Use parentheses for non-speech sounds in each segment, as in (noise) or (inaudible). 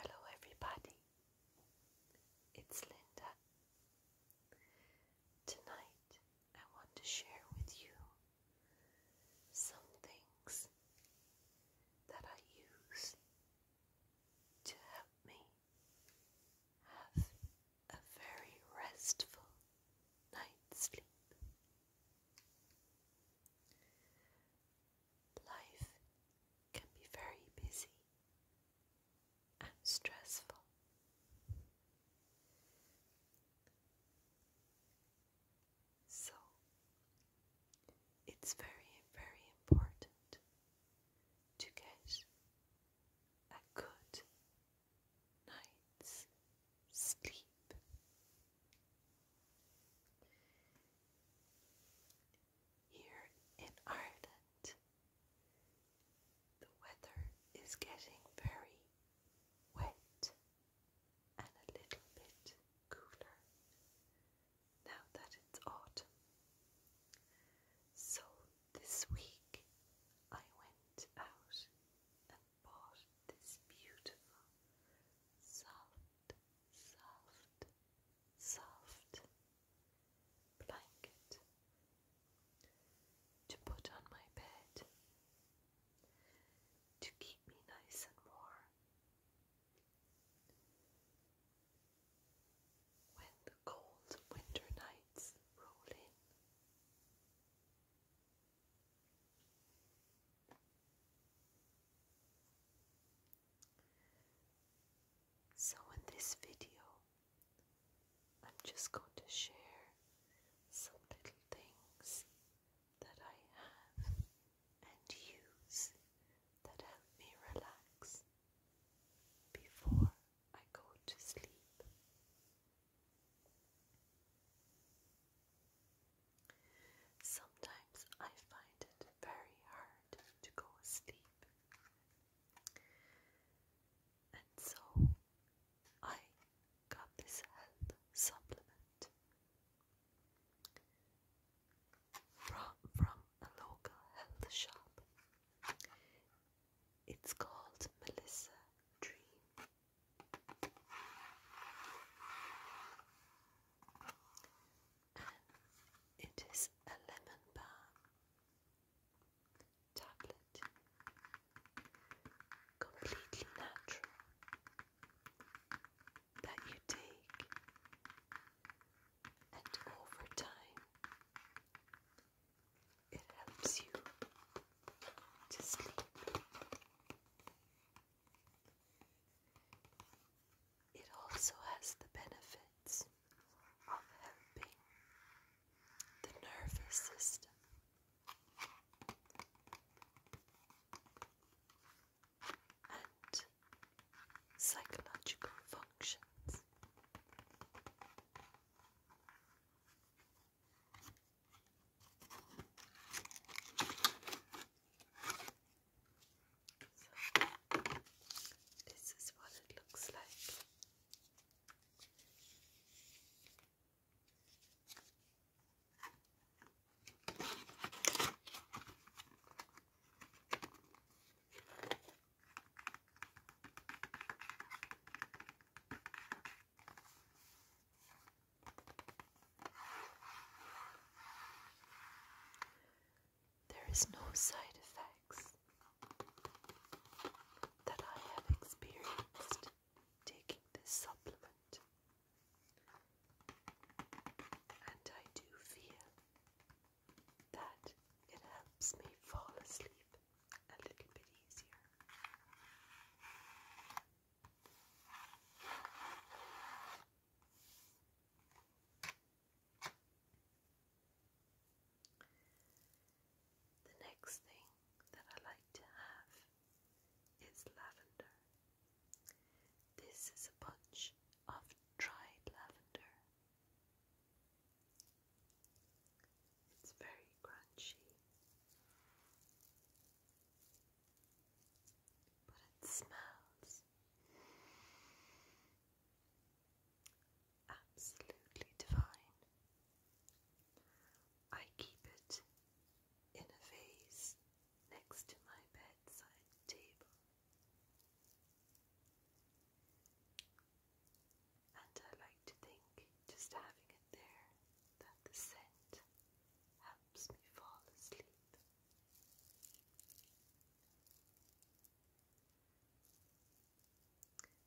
Hello, everybody. It's Linda. Tonight, I want to share with you some things that I use to help me have a very restful night's sleep. Life can be very busy and stressful. So, it's very, very important to get a good night's sleep. Here in Ireland, the weather is getting very wet and a little bit cooler now that it's autumn. So this week I went out and bought this beautiful soft soft, soft blanket to put on my bed to keep me nice and warm. When the cold winter nights roll in, so, in this video, I'm just going to share some little things that I have and use that help me relax before I go to sleep. Sometimes I find it very hard to go asleep, and so I got this health supplement from, from a local health shop. It's called Melissa Dream it is a lemon bar tablet, completely natural, that you take, and over time it helps you to sleep. It also has the benefits of helping the nervous system. And psychological functions. So, this is what it looks like. There is no side effects that I have experienced taking this supplement, and I do feel that it helps me fall asleep a little bit easier. The next thing that I like to have is lavender. This is a bunch of dried lavender. It's very crunchy but it smells absolutely divine. I keep it in a vase next to my bedside table, and I like to think just having it there that the scent helps me fall asleep.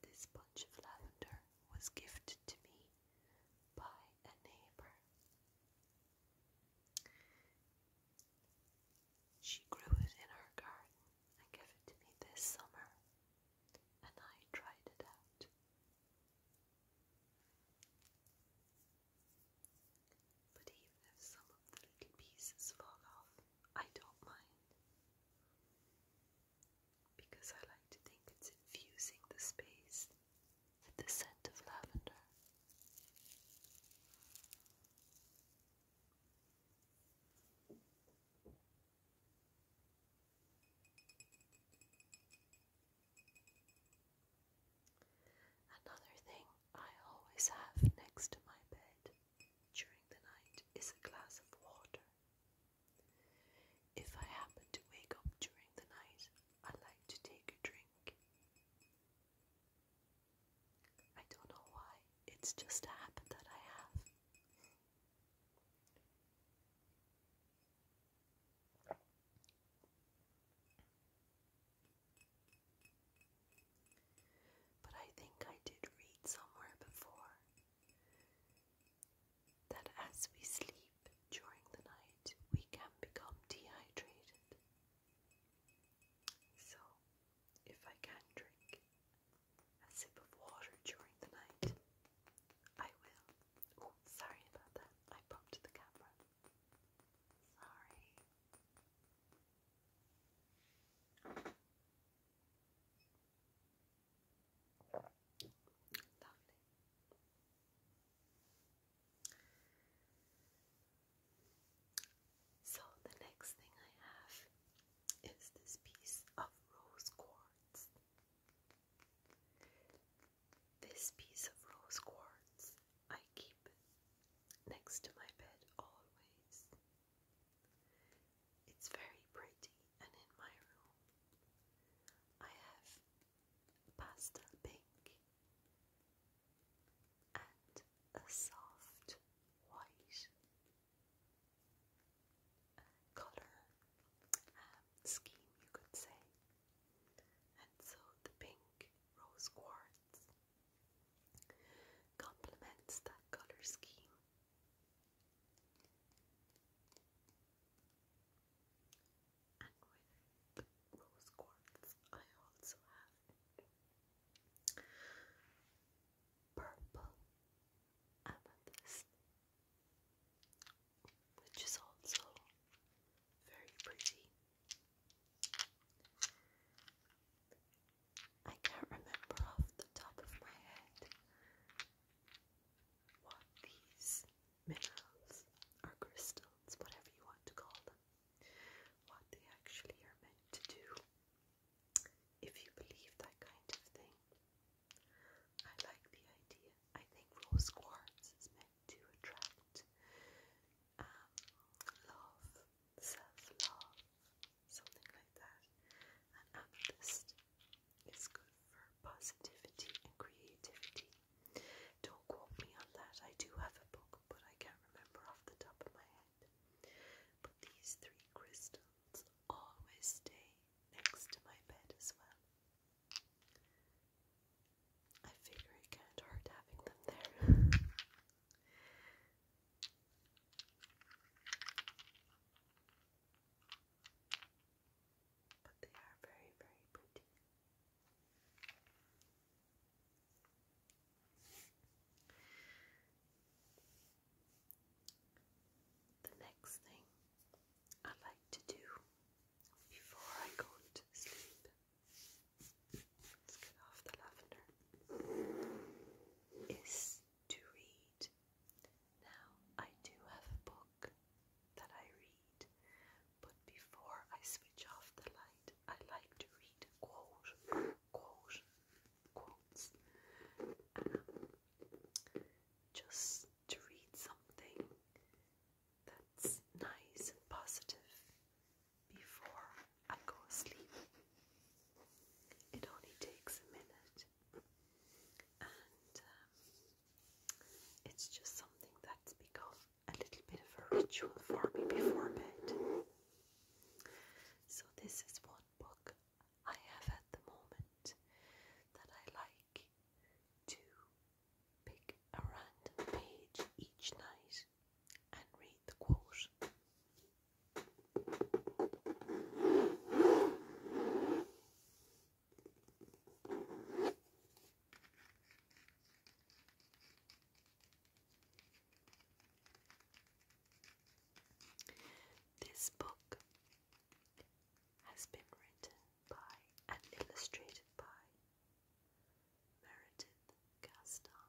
This bunch of lavender was gifted to me by a neighbour. She grew it in her garden and gave it to me this summer, and I tried it out. But even if some of the little pieces fall off, I don't mind. Because I like to think it's infusing the space with the scent of lavender. Another thing I always have next to my bed during the night is a glass of water. If I happen to wake up during the night, I like to take a drink. I don't know why, it's just a habit that I have. But I think I did read somewhere before that as we sleep during the night, we can become dehydrated. So, if I can drink a sip of water during the night, I will. Oh, sorry about that. I popped the camera. Sorry. Lovely. So the next thing I have is this piece of rose quartz. This piece of rose quartz I keep next to my bed always. It's very pretty and in my room I have pastel pink and a soft white color um, scheme, you could say. And so the pink rose quartz complements that colour scheme. And with rose quartz, I also have purple amethyst which is also very pretty. I can't remember off the top of my head what these minerals or crystals, whatever you want to call them, what they actually are meant to do. If you believe that kind of thing, I like the idea. I think rose quartz is meant to attract um, love, self-love, something like that. And amethyst is good for positivity and creativity. Don't quote me on that. I do have a book, but I can't remember off the top of my head. But these three crystals always stay next to my bed as well. I figure it can't hurt having them there. (laughs) but they are very, very pretty. The next thing I like to do before I go to sleep. Let's get off the lavender. Is to read. Now, I do have a book that I read, but before I switch off the light, I like to read a quote, quotes. Um, just to read something that's nice and positive before I go asleep. It only takes a minute, and um, it's just something that's become a little bit of a ritual for me before bed. So, this is one book I have at the moment that I like to pick a random page each night and read the quote. This book has been written by and illustrated by Meredith Gaston.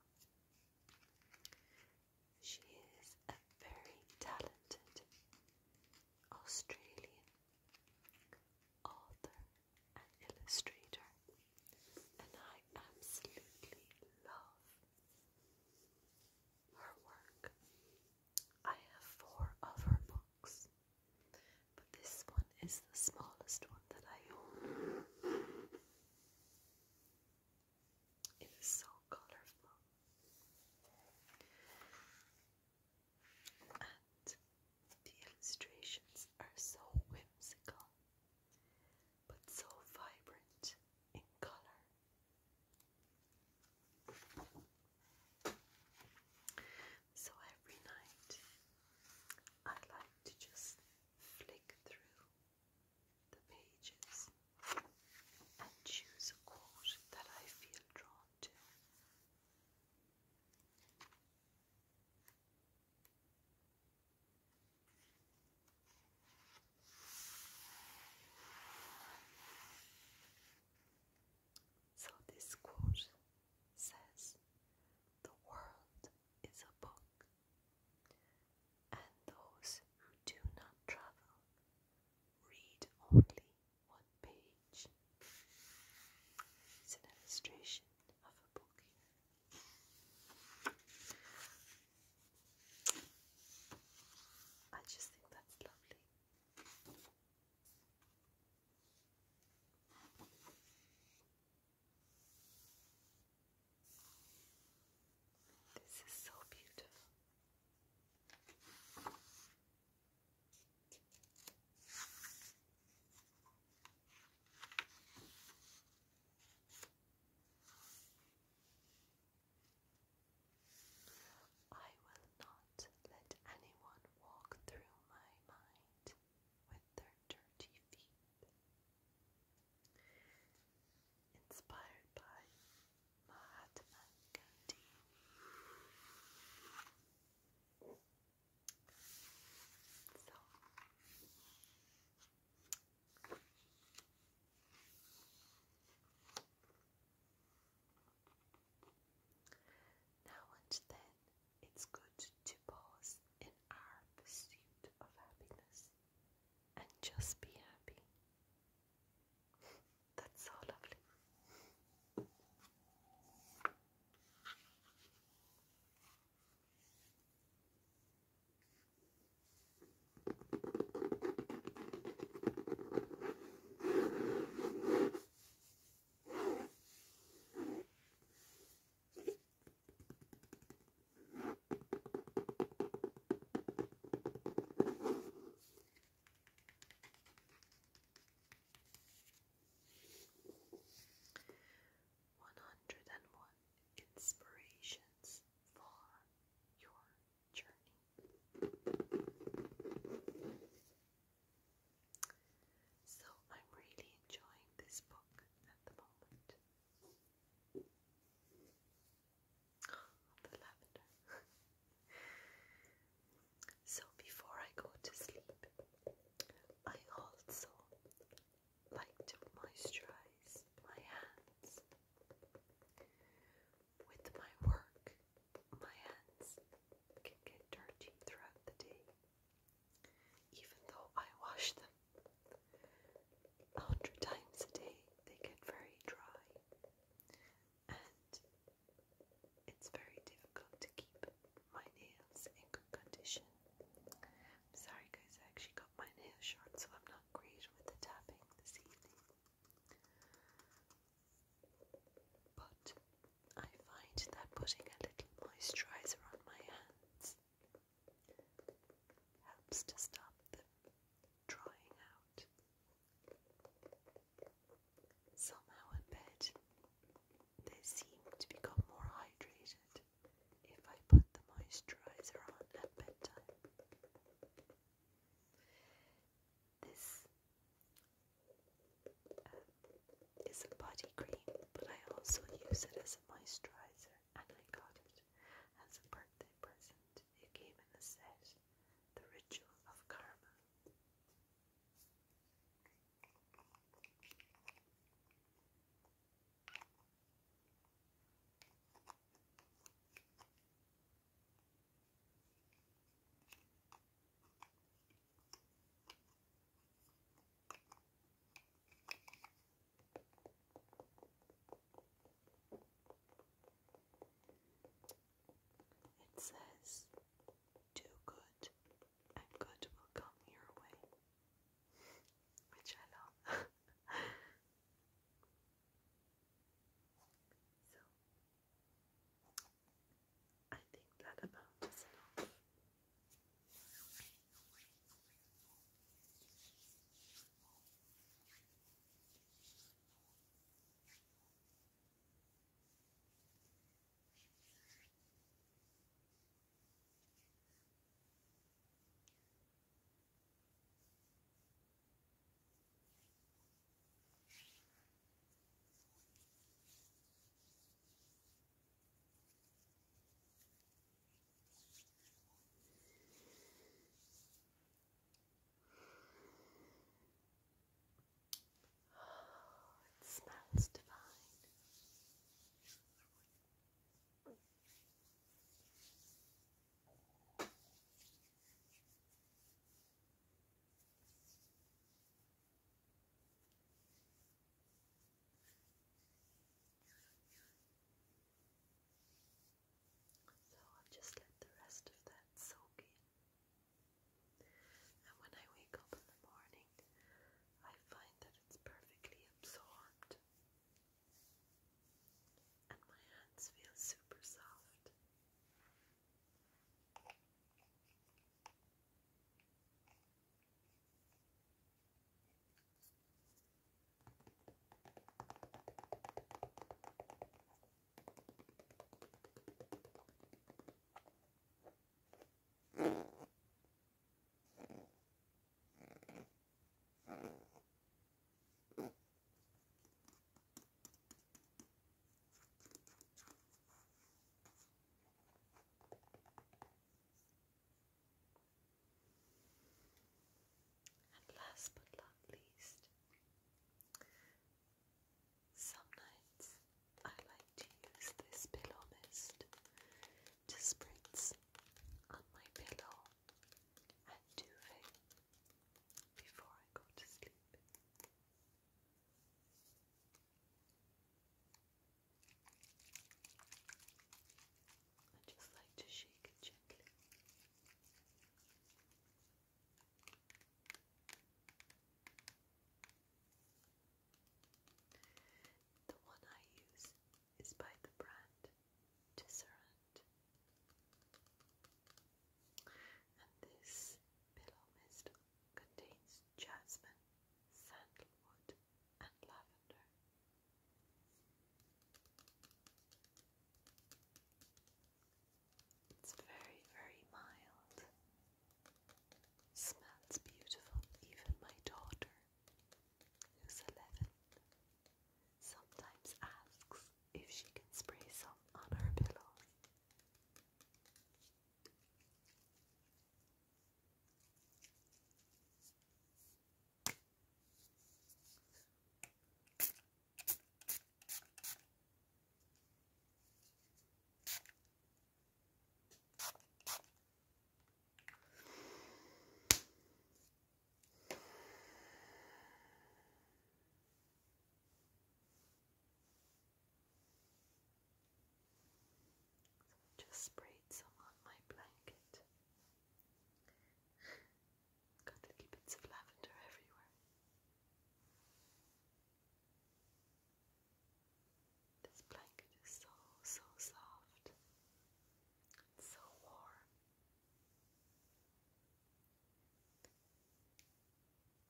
She is a very talented Australian author and illustrator, and I absolutely love her work. I have four of her books, but this one is the smallest one that I own. It is so colorful. And the illustrations are so whimsical, but so vibrant in color. So every night I like to just flick through the pages and choose a quote that I feel drawn to. So this quote says the world is a book, and those who do not travel read only one page. It's an illustration of a book I just think that's lovely. This is so beautiful. I will not let anyone walk through my mind with their dirty feet. Inspired by Mahatma Gandhi. So, now and then, it's good to pause in our pursuit of happiness and just be happy. (laughs) That's so lovely. 101 Inspirations for Your so I'm really enjoying this book at the moment. (gasps) the lavender. (laughs) so before I go to sleep, I also like to moisturize my hands with my work, my hands can get dirty throughout the day, even though I wash them a hundred times a day. They get very dry, and it's very difficult to keep my nails in good condition. am sorry, guys. I actually got my nails short, so I'm not great with the tapping this evening. But I find that putting a little moisturizer on my hands helps to stop them drying out. Somehow in bed, they seem to become more hydrated if I put the moisturizer on at bedtime. This um, is a body cream, but I also use it as a moisturizer, and I got it as a birthday present. It came in a set, The Ritual of Karma. It says, Do good, and good will come your way, which I love. (laughs) So, I think that about is enough. Oh, it smells divine. So I'll just let the rest of that soak in. And when I wake up in the morning, I find that it's perfectly absorbed and my hands feel super soft. And last but not least, some nights I like to use this pillow mist to spritz on my pillow and duvet before I go to sleep. I just like to shake it gently. The one I use is by the brand Tisserand. And this pillow mist contains jasmine, sandalwood, and lavender. It's very, very mild. Smells beautiful. Even my daughter, who's 11, sometimes asks if she can spray some on her pillow. Just sprayed some on my blanket. Got little bits of lavender everywhere. This blanket is so, so soft. so warm.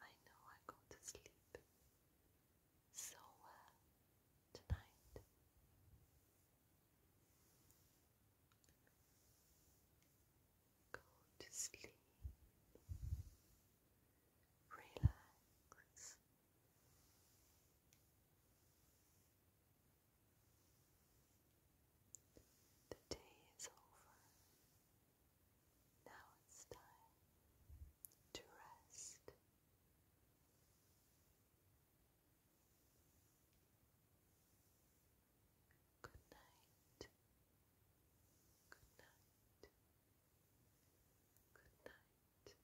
I know I go to sleep so tonight. Go to sleep. Relax. The day is over. Now it's time to rest. Good night. Good night. Good night.